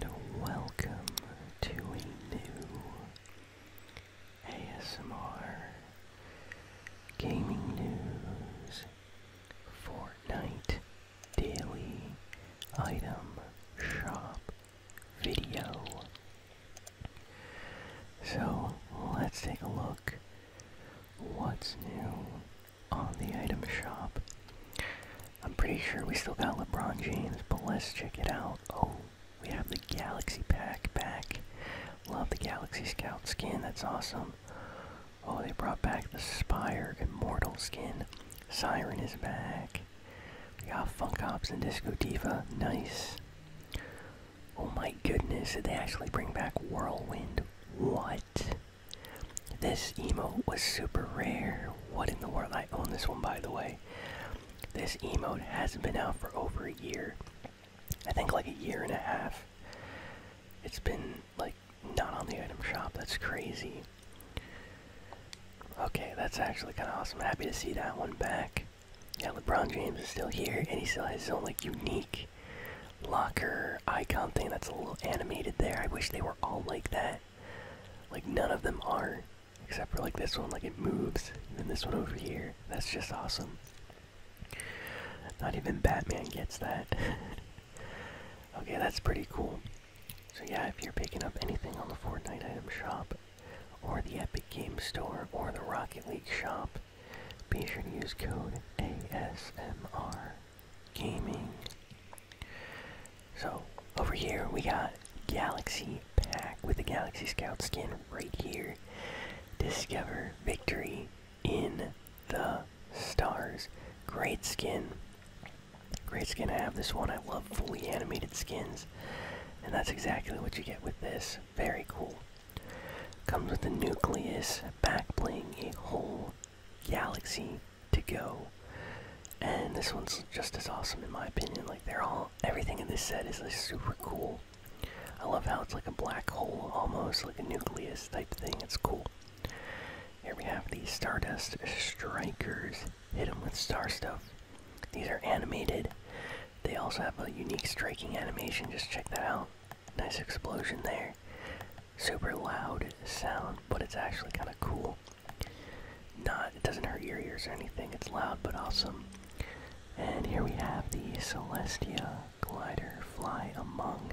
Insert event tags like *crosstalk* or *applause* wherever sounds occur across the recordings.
and welcome to a new ASMR Gaming News Fortnite Daily Item Shop video. So let's take a look what's new on the item shop. I'm pretty sure we still got LeBron James, but let's check it out. Oh, we have the Galaxy Pack back. Love the Galaxy Scout skin, that's awesome. Oh, they brought back the Spire Immortal skin. Siren is back. We got Funk Ops and Disco Diva, nice. Oh my goodness, did they actually bring back Whirlwind? What? This emote was super rare. What in the world? I own this one, by the way. This emote has not been out for over a year. I think like a year and a half. It's been like not on the item shop. That's crazy. Okay, that's actually kind of awesome. Happy to see that one back. Yeah, LeBron James is still here, and he still has his own like unique locker icon thing that's a little animated there. I wish they were all like that. Like none of them are. Except for like this one, like it moves. And this one over here. That's just awesome. Not even Batman gets that. *laughs* okay, that's pretty cool. So yeah, if you're picking up anything on the Fortnite item shop, or the Epic Games Store, or the Rocket League shop, be sure to use code ASMR Gaming so over here we got Galaxy Pack with the Galaxy Scout skin right here. Discover victory in the stars. Great skin. Great skin. I have this one. I love fully animated skins. And that's exactly what you get with this. Very cool. Comes with the nucleus back playing a whole galaxy to go. And this one's just as awesome in my opinion. Like they're all everything in this set is like super cool. I love how it's like a black hole almost, like a nucleus type thing. It's cool. Here we have the Stardust Strikers. Hit them with star stuff. These are animated. They also have a unique striking animation. Just check that out. Nice explosion there. Super loud sound, but it's actually kind of cool. Not, it doesn't hurt your ears or anything. It's loud but awesome. And here we have the Celestia glider fly among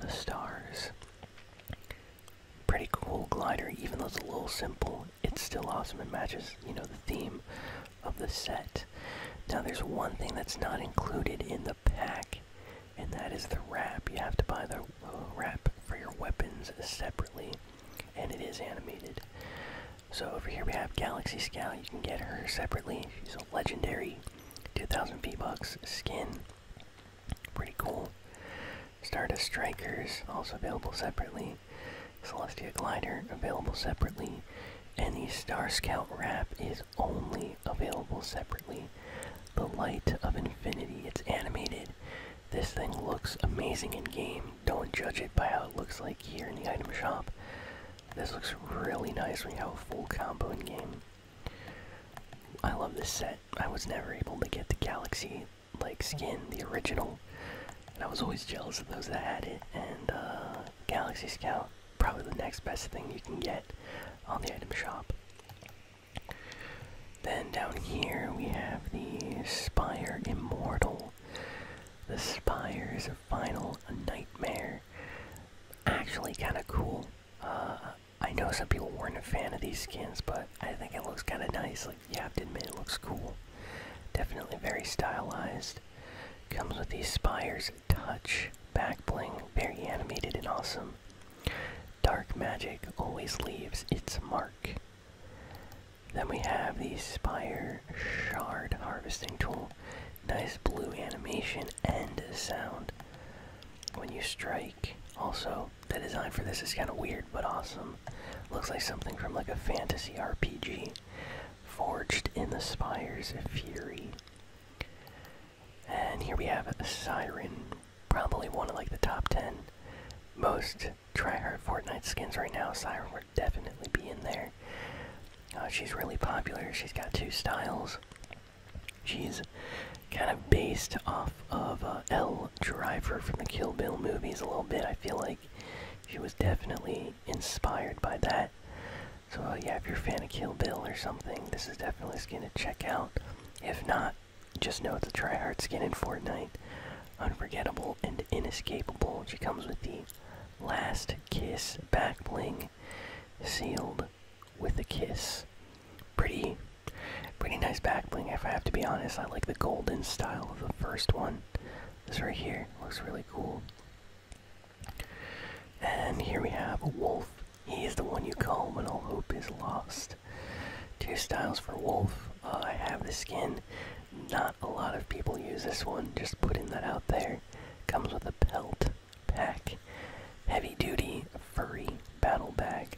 the stars. Pretty cool glider, even though it's a little simple. It's still awesome. and matches, you know, the theme of the set. Now, there's one thing that's not included in the pack, and that is the wrap. You have to buy the wrap for your weapons separately, and it is animated. So over here we have Galaxy Scout. You can get her separately. She's a legendary 2,000 v skin. Pretty cool. Stardust Strikers, also available separately. Celestia Glider, available separately. And the Star Scout wrap is only available separately. The Light of Infinity, it's animated. This thing looks amazing in game. Don't judge it by how it looks like here in the item shop. This looks really nice when you have a full combo in game. I love this set. I was never able to get the Galaxy like skin, the original. And I was always jealous of those that had it. And uh, Galaxy Scout, probably the next best thing you can get on the item shop. Then down here we have the Spire Immortal. The Spire is a final nightmare. Actually, kind of cool. Uh, I know some people weren't a fan of these skins, but I think it looks kind of nice. Like, you have to admit, it looks cool. Definitely very stylized. Comes with the Spire's touch back bling, very animated and awesome. Dark magic always leaves its mark. Then we have the Spire Shard Harvesting Tool. Nice blue animation and sound when you strike. Also, the design for this is kind of weird but awesome. Looks like something from like a fantasy RPG. Forged in the Spire's Fury. And here we have a Siren probably one of like the top 10 most tryhard Fortnite skins right now. Siren would definitely be in there. Uh, she's really popular. She's got two styles. She's kind of based off of uh, L Driver from the Kill Bill movies a little bit. I feel like she was definitely inspired by that. So uh, yeah, if you're a fan of Kill Bill or something, this is definitely skin to check out. If not, just know it's a tryhard skin in Fortnite. Unforgettable and inescapable. She comes with the Last Kiss back bling, sealed with a kiss. Pretty, pretty nice back bling. If I have to be honest, I like the golden style of the first one. This right here looks really cool. And here we have a Wolf he is the one you call when all hope is lost. Two styles for Wolf. Uh, I have the skin. Not a lot of people use this one, just putting that out there. Comes with a pelt, pack, heavy duty, furry battle bag.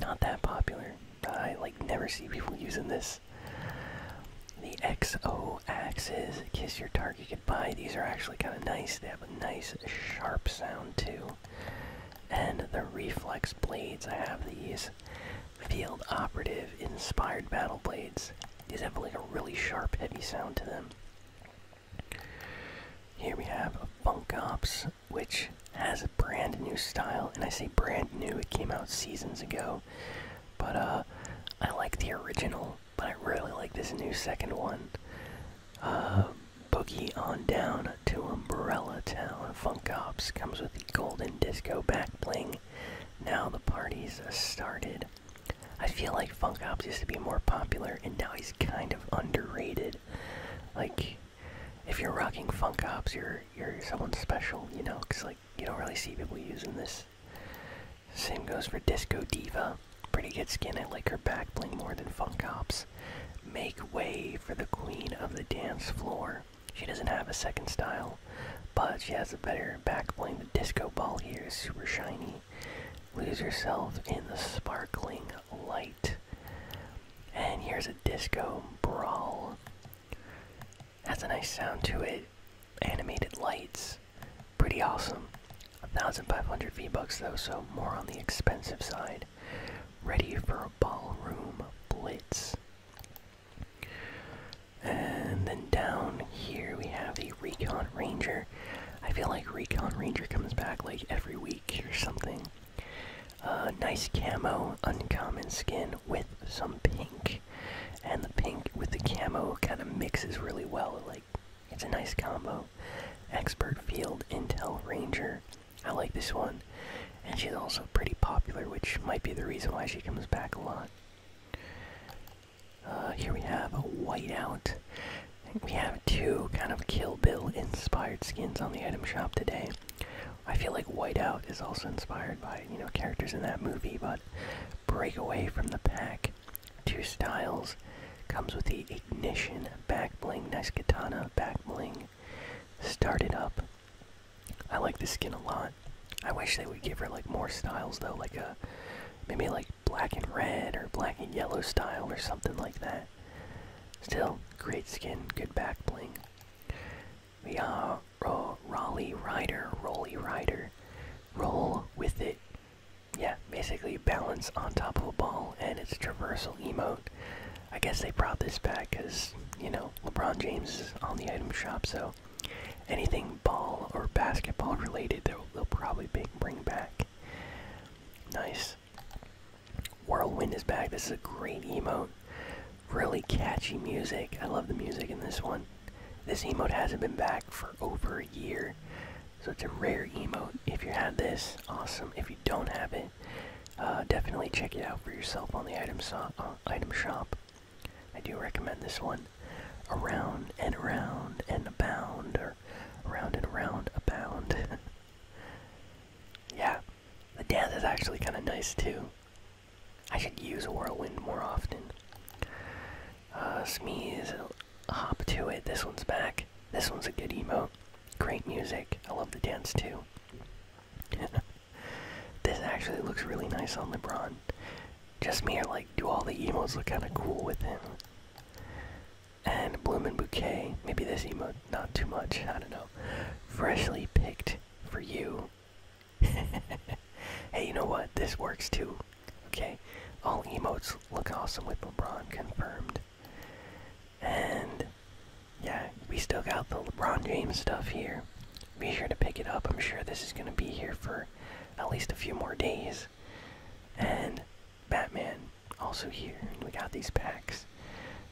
Not that popular. I like never see people *laughs* using this. The XO axes, kiss your target goodbye. These are actually kind of nice. They have a nice sharp sound too and the reflex blades. I have these field operative inspired battle blades. These have like a really sharp, heavy sound to them. Here we have Funk Ops, which has a brand new style, and I say brand new, it came out seasons ago. But uh, I like the original, but I really like this new second one. Um, Boogie on down to Umbrella Town. Funk comes with the golden disco back bling. Now the party's started. I feel like Funk used to be more popular and now he's kind of underrated. Like, if you're rocking Funk you're, you're someone special, you know? Because, like, you don't really see people using this. Same goes for Disco Diva. Pretty good skin. I like her back bling more than Funk Make way for the queen of the dance floor. She doesn't have a second style, but she has a better backbling. The disco ball here is super shiny. Lose yourself in the sparkling light. And here's a disco brawl. Has a nice sound to it. Animated lights. Pretty awesome. 1,500 V-Bucks though, so more on the expensive side ready for a ballroom blitz. And then down here we have the Recon Ranger. I feel like Recon Ranger comes back like every week or something. Uh, nice camo, uncommon skin with some pink. And the pink with the camo kind of mixes really well. Like, it's a nice combo. Expert Field Intel Ranger. I like this one. And she's also pretty popular, which might be the reason why she comes back a lot. Uh, here we have a whiteout. We have two kind of Kill Bill inspired skins on the item shop today. I feel like Whiteout is also inspired by, you know, characters in that movie, but break away from the pack. Two styles, Comes with the ignition back bling, nice katana back bling. Start it up. I like this skin a lot. I wish they would give her like more styles though, like a maybe like black and red or black and yellow style or something like that. Still, great skin, good back bling. We are ro Raleigh Rider, Rolly Rider. Roll with it. Yeah, basically balance on top of a ball and it's traversal emote. I guess they brought this back because, you know, LeBron James is on the item shop, so anything ball or basketball related, they'll, they'll probably bring back. Nice. Whirlwind is back. This is a great emote. Really catchy music. I love the music in this one. This emote hasn't been back for over a year. So it's a rare emote. If you have this, awesome. If you don't have it, uh, definitely check it out for yourself on the uh, item, shop. I do recommend this one. Around and around and abound, or around and around abound. *laughs* yeah, the dance is actually kind of nice too. I should use a whirlwind more often. Uh, Smeeze, hop to it. This one's back. This one's a good emote. Great music. I love the dance too. *laughs* this actually looks really nice on LeBron. Just me or like, do all the emotes look kind of cool with him? And Bloom and Bouquet. Maybe this emote, not too much. I don't know. Freshly picked for you. *laughs* hey, you know what? This works too. Okay? All emotes look awesome with LeBron. Confirmed. And yeah, we still got the LeBron James stuff here. Be sure to pick it up. I'm sure this is going to be here for at least a few more days. And Batman also here. we got these packs.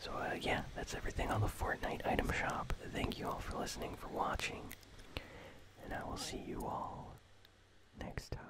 So uh, yeah, that's everything on the Fortnite item shop. Thank you all for listening, for watching. And I will see you all next time.